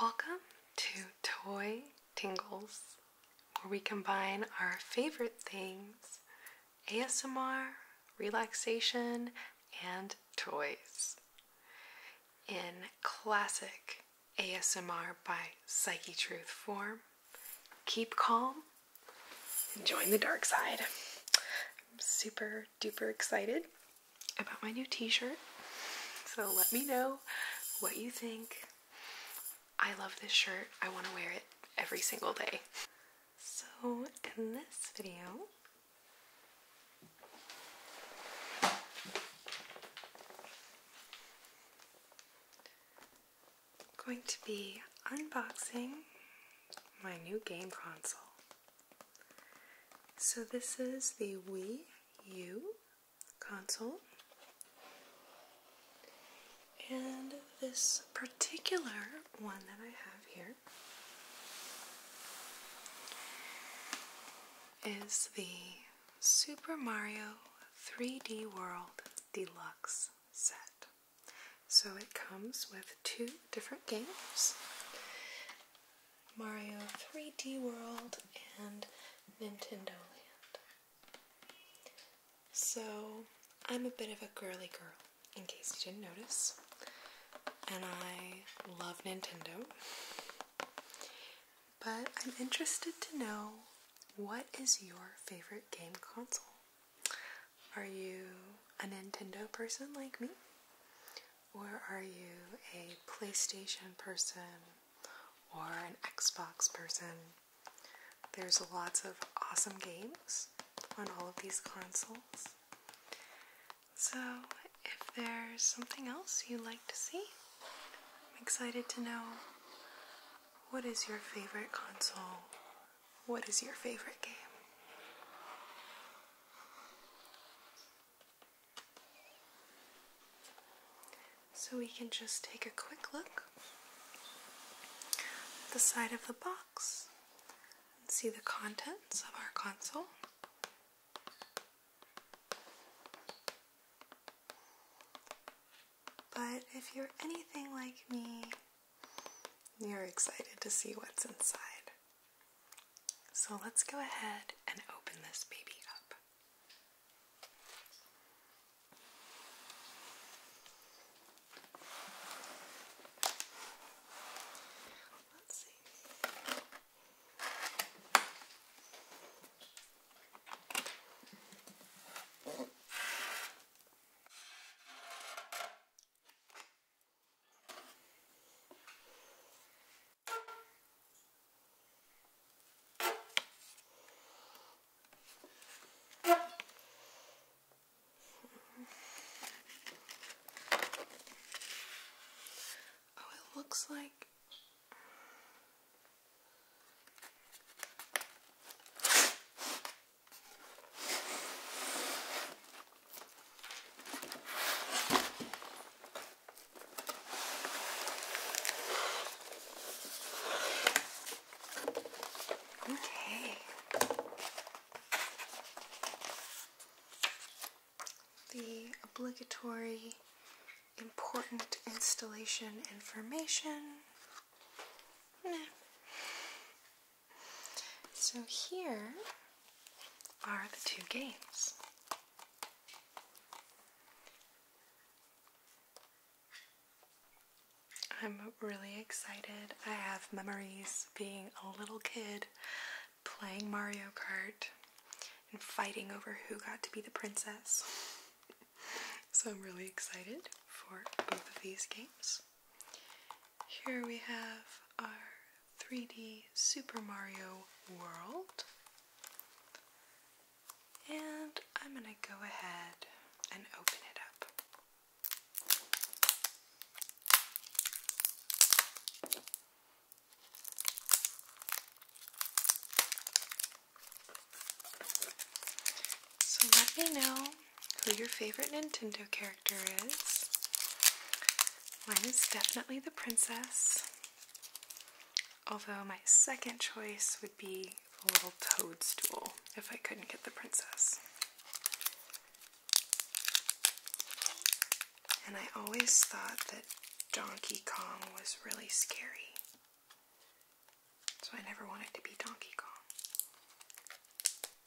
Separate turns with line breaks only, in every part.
Welcome to Toy Tingles, where we combine our favorite things ASMR, relaxation, and toys. In classic ASMR by Psyche Truth form, keep calm, Enjoying the dark side. I'm super duper excited about my new t shirt. So let me know what you think. I love this shirt, I want to wear it every single day. So, in this video, I'm going to be unboxing my new game console. So, this is the Wii U console, and this particular one that I have here is the Super Mario 3D World Deluxe set. So it comes with two different games Mario 3D World and Nintendo Land. So I'm a bit of a girly girl, in case you didn't notice, and I love Nintendo. But I'm interested to know what is your favorite game console? Are you a Nintendo person like me? Or are you a PlayStation person or an Xbox person? There's lots of awesome games on all of these consoles. So, if there's something else you'd like to see, I'm excited to know what is your favorite console what is your favorite game? So we can just take a quick look at the side of the box and see the contents of our console. But if you're anything like me, you're excited to see what's inside. So let's go ahead and open this baby up. Let's see. Oh, it looks like Okay. The obligatory important installation information. Nah. So here are the two games. I'm really excited. I have memories being a little kid playing Mario Kart and fighting over who got to be the princess. so I'm really excited for both of these games. Here we have our 3D Super Mario World. And I'm going to go ahead and open it up. So let me know who your favorite Nintendo character is. Mine is definitely the princess, although my second choice would be the little toadstool if I couldn't get the princess. And I always thought that Donkey Kong was really scary. So I never wanted to be Donkey Kong.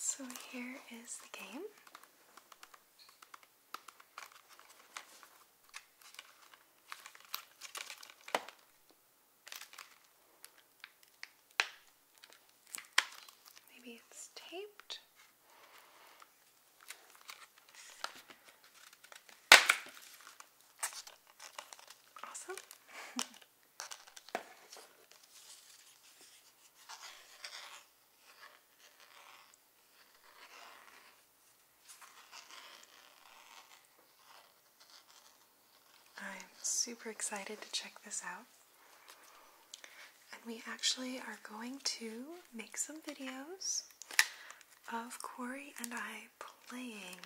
So here is the game. Maybe it's taped. Awesome. I'm super excited to check this out. And we actually are going to make some videos of Corey and I playing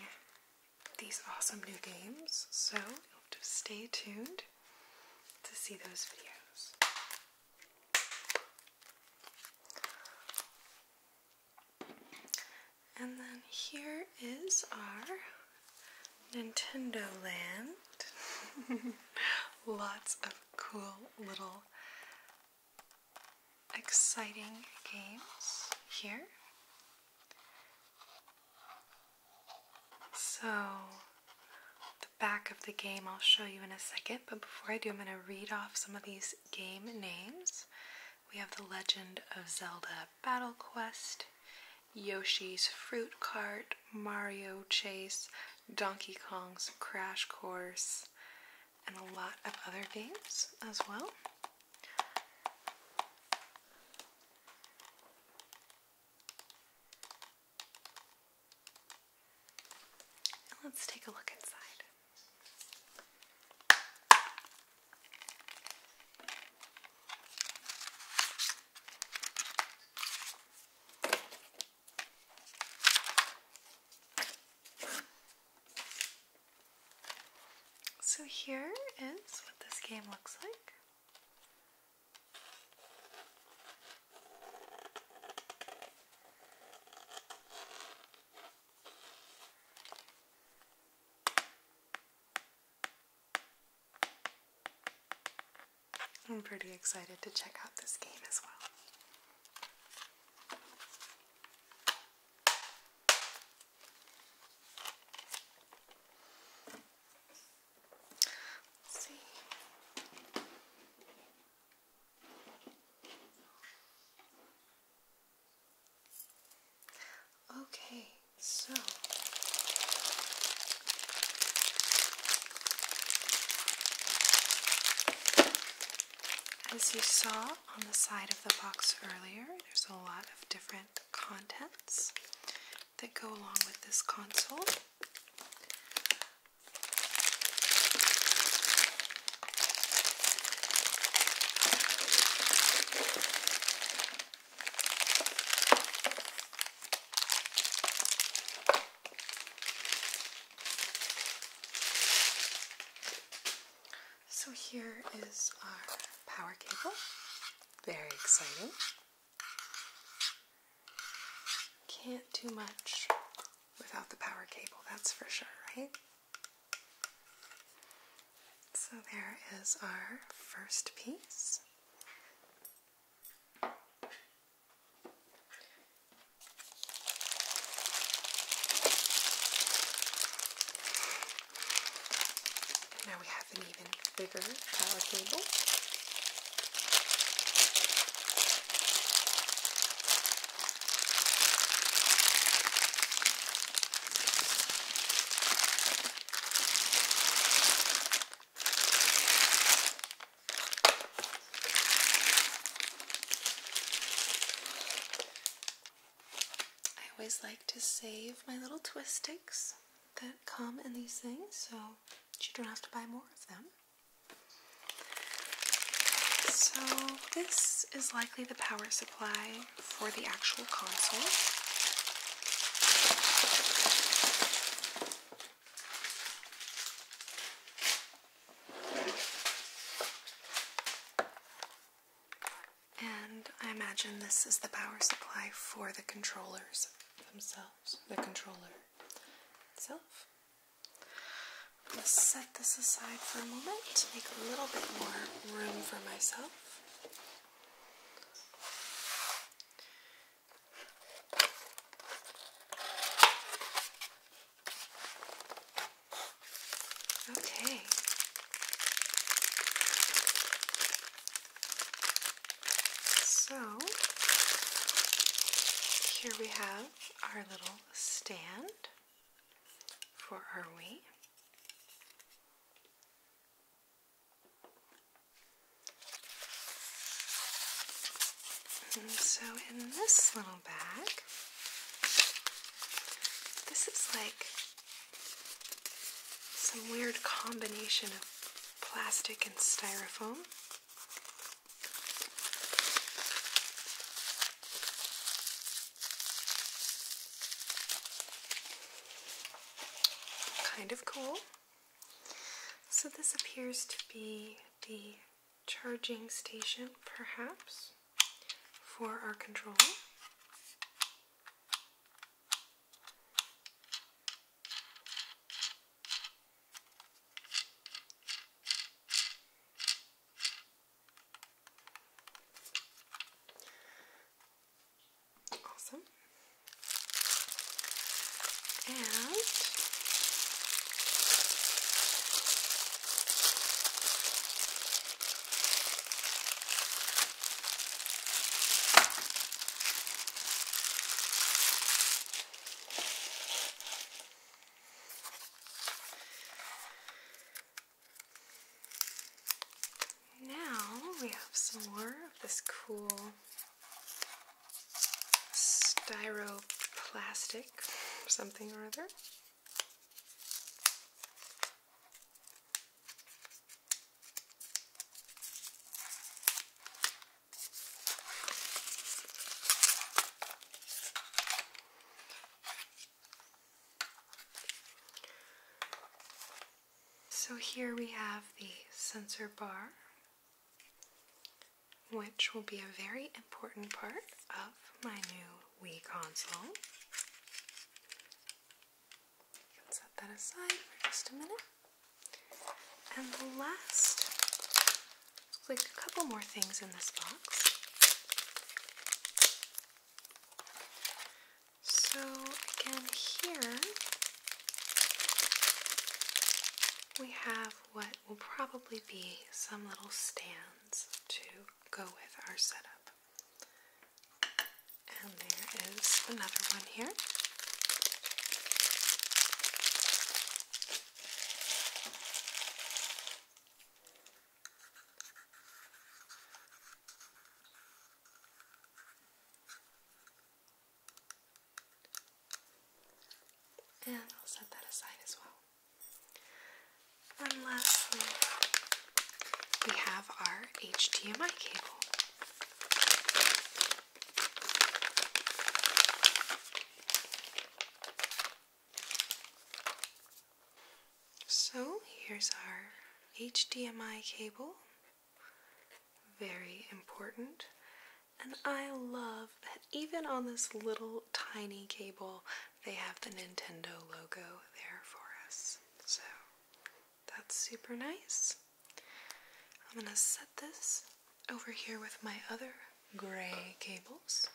these awesome new games. So you stay tuned to see those videos. And then here is our Nintendo Land. Lots of cool little exciting games here. So, the back of the game I'll show you in a second, but before I do, I'm going to read off some of these game names. We have The Legend of Zelda Battle Quest, Yoshi's Fruit Cart, Mario Chase, Donkey Kong's Crash Course, and a lot of other games as well. Let's take a look inside. So here is what this game looks like. I'm pretty excited to check out this game as well. Let's see. Okay, so as you saw on the side of the box earlier, there's a lot of different contents that go along with this console. So here is our power cable. Very exciting. Can't do much without the power cable, that's for sure, right? So there is our first piece. Now we have an even bigger power cable. I always like to save my little twist sticks that come in these things so you don't have to buy more of them. So, this is likely the power supply for the actual console. And I imagine this is the power supply for the controllers themselves, the controller itself. I'm going to set this aside for a moment to make a little bit more room for myself. Okay. So here we have our little stand for our weight so in this little bag, this is like some weird combination of plastic and styrofoam. Kind of cool. So, this appears to be the charging station, perhaps, for our control. Awesome. And now we have some more of this cool styroplastic something or other. So here we have the sensor bar which will be a very important part of my new Wii console. You can set that aside for just a minute. And the last, looks like a couple more things in this box. So again, here we have what will probably be some little stands to go with our setup. And there is another one here. And I'll set that aside as well. And lastly, we have our HDMI cable. So here's our HDMI cable very important. And I love that even on this little tiny cable, they have the Nintendo logo there for us. So that's super nice. I'm going to set this over here with my other gray cables.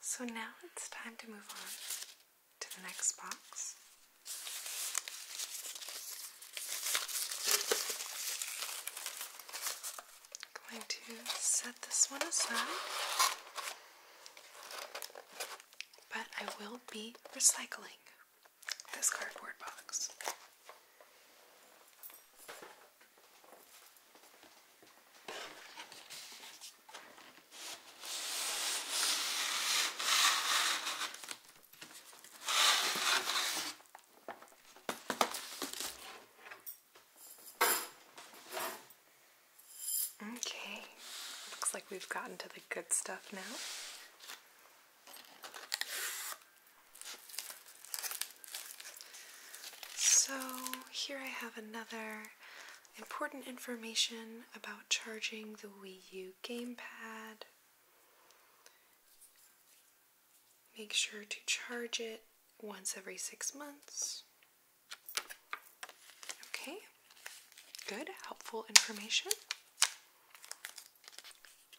So now it's time to move on to the next box. I'm going to set this one aside, but I will be recycling this cardboard box. Okay, looks like we've gotten to the good stuff now. So, here I have another important information about charging the Wii U gamepad. Make sure to charge it once every six months. Okay, good, helpful information.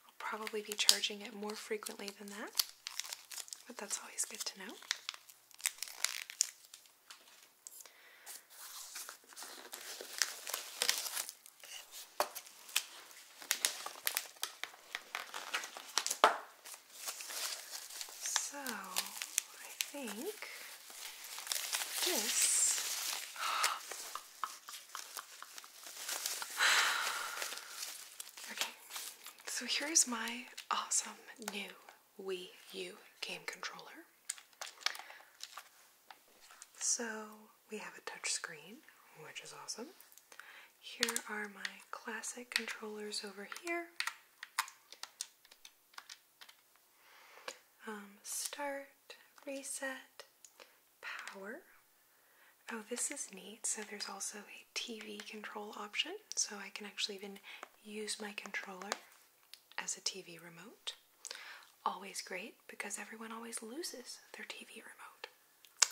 I'll probably be charging it more frequently than that, but that's always good to know. So I think this Okay. So here's my awesome new Wii U game controller. So we have a touch screen, which is awesome. Here are my classic controllers over here. Um, start, reset, power. Oh, this is neat. So there's also a TV control option, so I can actually even use my controller as a TV remote. Always great because everyone always loses their TV remote.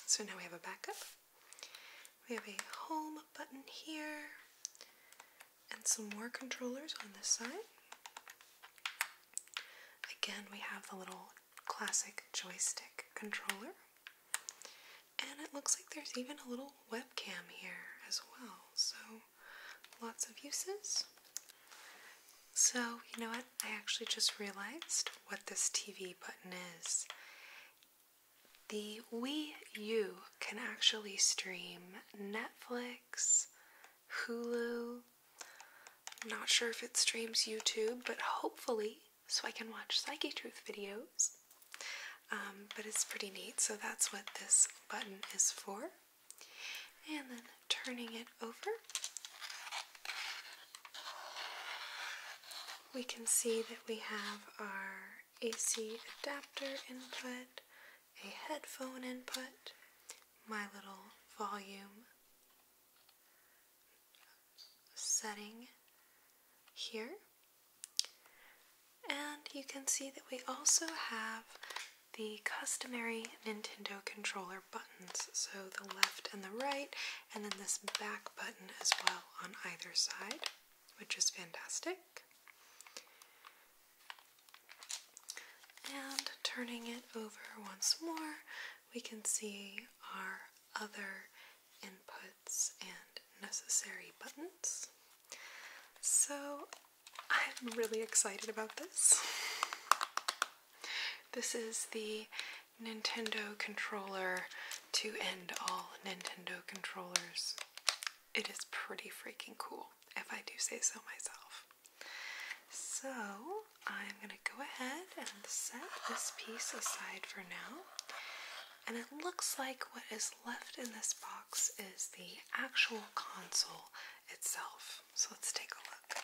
So now we have a backup. We have a home button here and some more controllers on this side. Again, we have the little classic joystick controller. And it looks like there's even a little webcam here as well. So lots of uses. So Oh, you know what? I actually just realized what this TV button is. The Wii U can actually stream Netflix, Hulu. not sure if it streams YouTube, but hopefully, so I can watch Psyche Truth videos. Um, but it's pretty neat, so that's what this button is for. And then turning it over, we can see that we have our AC adapter input, a headphone input, my little volume setting here. And you can see that we also have the customary Nintendo controller button. So the left and the right, and then this back button as well on either side, which is fantastic. And turning it over once more, we can see our other inputs and necessary buttons. So I'm really excited about this. This is the Nintendo controller to end all Nintendo controllers. It is pretty freaking cool, if I do say so myself. So, I'm going to go ahead and set this piece aside for now. And it looks like what is left in this box is the actual console itself. So let's take a look.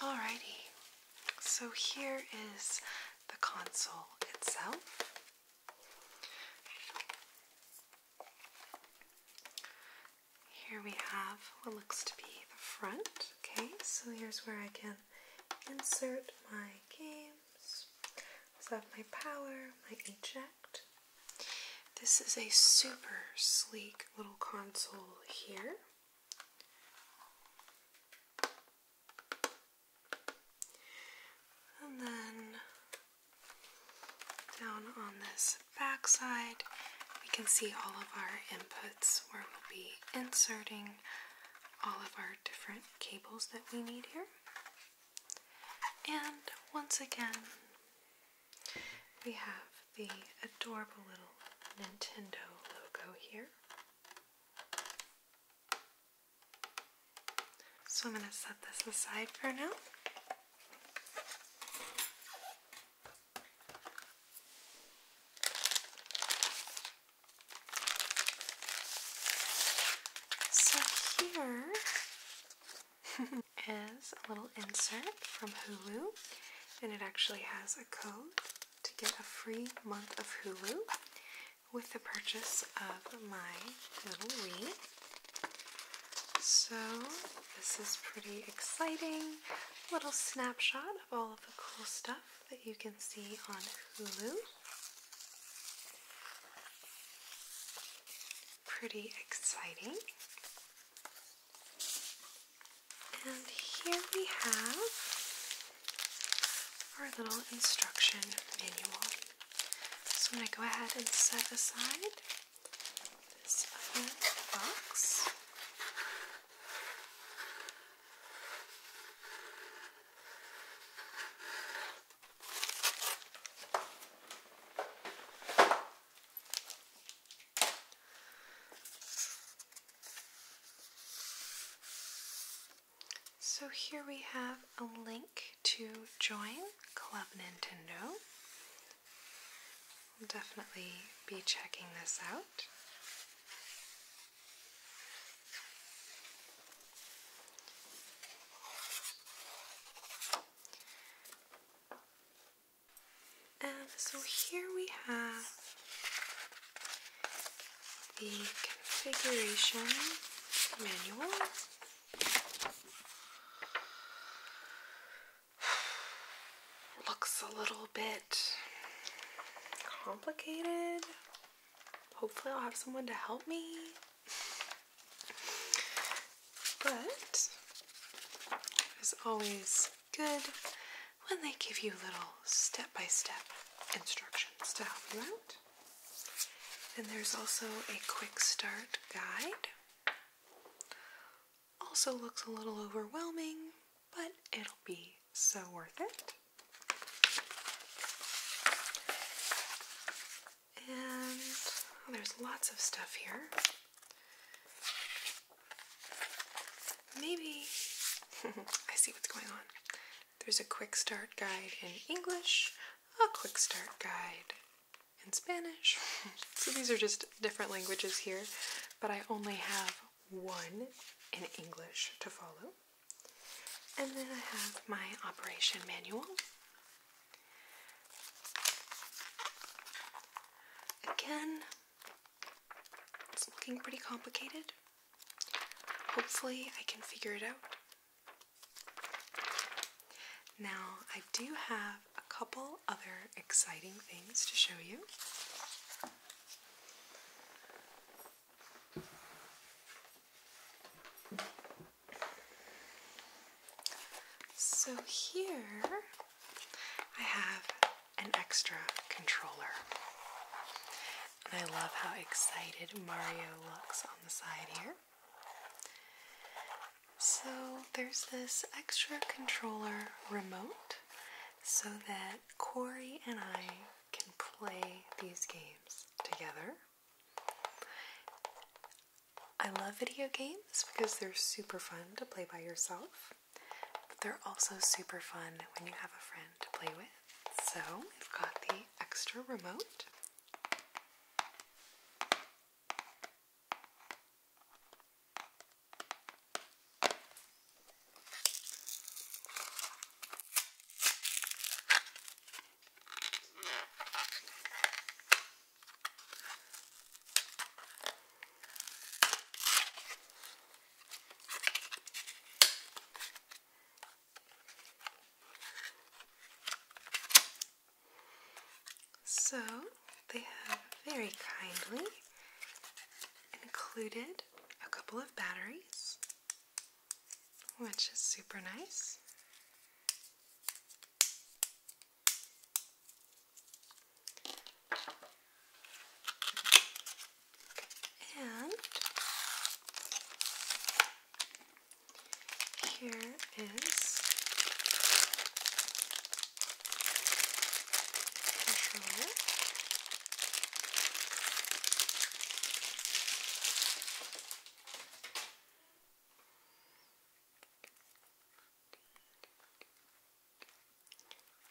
Alrighty, so here is the console itself. Here we have what looks to be the front. Okay, so here's where I can insert my games. So I have my power, my eject. This is a super sleek little console here. And then down on this back side, we can see all of our inputs where we'll be inserting all of our different cables that we need here. And once again, we have the adorable little Nintendo logo here. So I'm going to set this aside for now. So here is a little insert from Hulu, and it actually has a code to get a free month of Hulu with the purchase of my little Wii. So this is pretty exciting. Little snapshot of all of the cool stuff that you can see on Hulu. Pretty exciting. And here we have our little instruction manual. So I'm going to go ahead and set aside this other box. So here we have a link to join Club Nintendo. We'll definitely be checking this out. And so here we have the configuration manual. looks a little bit complicated hopefully I'll have someone to help me. But it is always good when they give you little step-by-step instructions to help you out. And there's also a quick start guide. Also looks a little overwhelming, but it'll be so worth it. And oh, there's lots of stuff here. Maybe I see what's going on. There's a quick start guide in English, a quick start guide in Spanish. so these are just different languages here, but I only have one in English to follow. And then I have my operation manual. Again, it's looking pretty complicated. Hopefully, I can figure it out. Now, I do have a couple other exciting things to show you. So here I have an extra controller. And I love how excited Mario looks on the side here. So there's this extra controller remote so that Corey and I can play these games together. I love video games because they're super fun to play by yourself, but they're also super fun when you have a friend to play with. So we've got the extra remote. So they have very kindly included a couple of batteries which is super nice. And here is controller.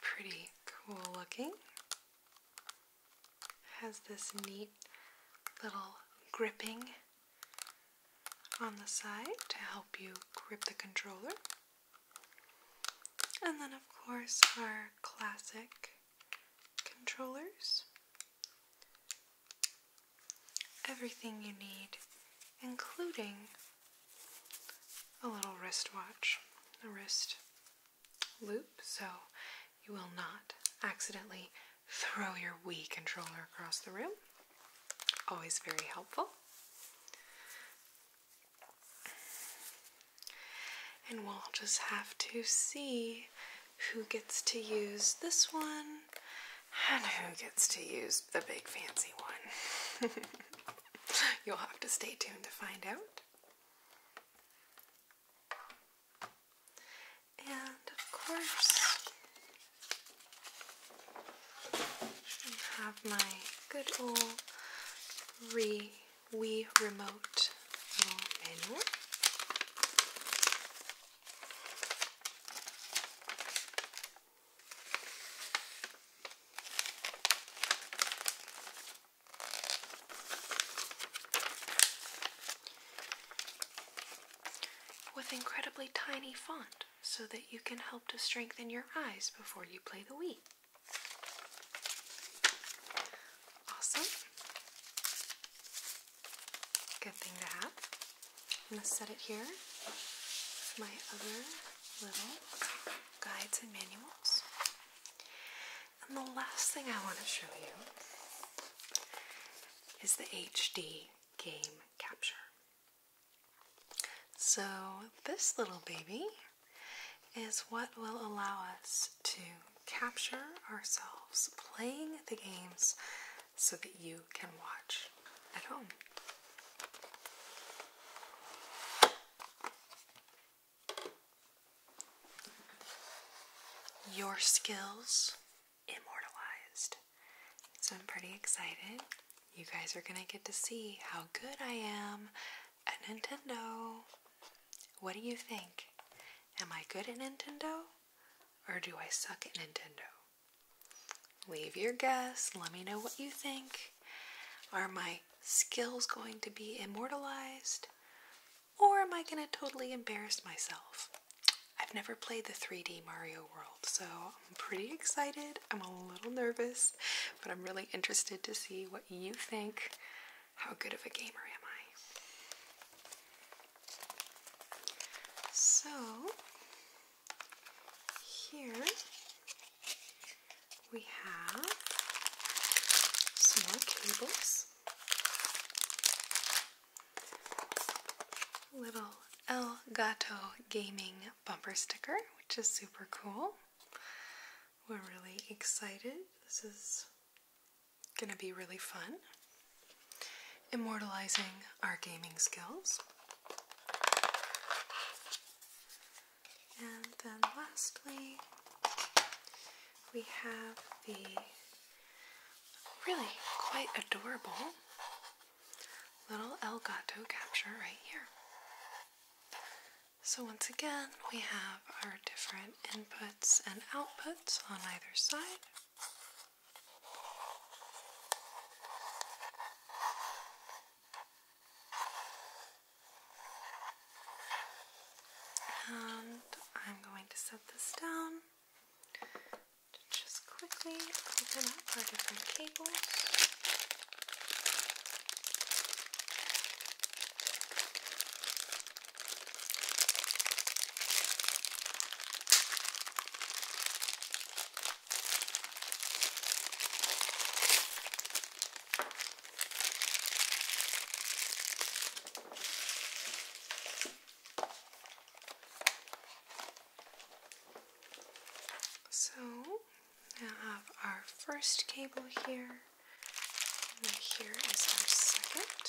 Pretty cool looking. Has this neat little gripping on the side to help you grip the controller. And then, of course, our classic controllers, everything you need, including a little wrist watch, a wrist loop, so you will not accidentally throw your Wii controller across the room. Always very helpful. And we'll just have to see who gets to use this one and who gets to use the big fancy one. You'll have to stay tuned to find out. And of course, I have my good old re Wii remote little with incredibly tiny font so that you can help to strengthen your eyes before you play the Wii. Awesome. Good thing to have. I'm going to set it here with my other little guides and manuals. And the last thing I want to show you is the HD game capture. So, this little baby is what will allow us to capture ourselves playing the games so that you can watch at home. Your skills immortalized. So I'm pretty excited. You guys are going to get to see how good I am at Nintendo. What do you think? Am I good at Nintendo? Or do I suck at Nintendo? Leave your guess. Let me know what you think. Are my skills going to be immortalized? Or am I going to totally embarrass myself? I've never played the 3D Mario World, so I'm pretty excited. I'm a little nervous, but I'm really interested to see what you think. How good of a gamer am I? So here we have some more cables, little Elgato gaming bumper sticker, which is super cool. We're really excited. This is Gonna be really fun. Immortalizing our gaming skills. And then lastly, we have the really quite adorable little Elgato capture right here. So once again, we have our different inputs and outputs on either side. And I'm going to set this down to just quickly open up our different cables. So we have our first cable here, and here is our second.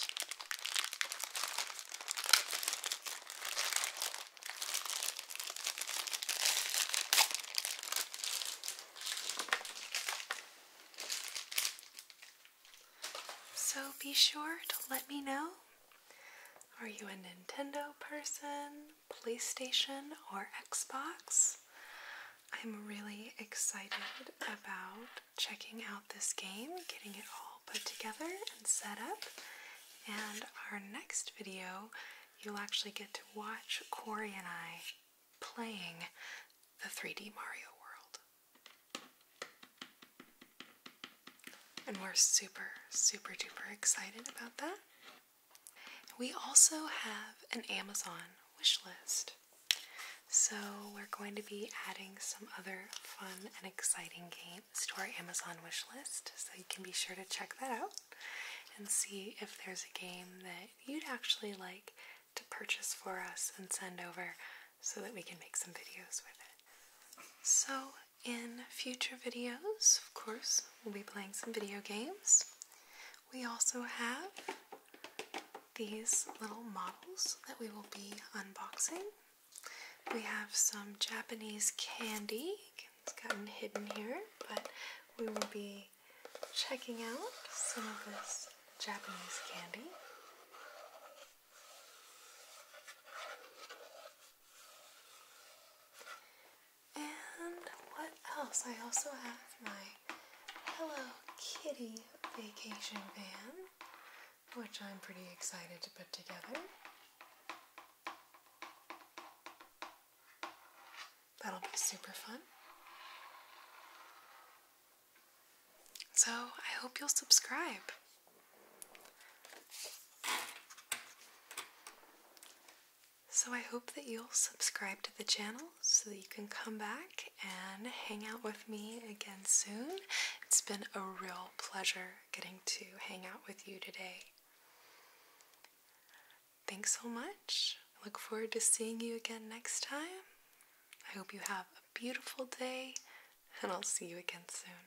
So be sure to let me know. Are you a Nintendo person, PlayStation, or Xbox? I'm really excited about checking out this game, getting it all put together and set up. And our next video, you'll actually get to watch Corey and I playing the 3D Mario World. And we're super, super duper excited about that. We also have an Amazon wish list. So we're going to be adding some other fun and exciting games to our Amazon wish list, so you can be sure to check that out and see if there's a game that you'd actually like to purchase for us and send over so that we can make some videos with it. So, in future videos, of course, we'll be playing some video games. We also have these little models that we will be unboxing. We have some Japanese candy. It's gotten hidden here, but we will be checking out some of this Japanese candy. And what else? I also have my Hello Kitty vacation van which I'm pretty excited to put together. That'll be super fun. So, I hope you'll subscribe. So, I hope that you'll subscribe to the channel so that you can come back and hang out with me again soon. It's been a real pleasure getting to hang out with you today. Thanks so much. look forward to seeing you again next time. I hope you have a beautiful day, and I'll see you again soon.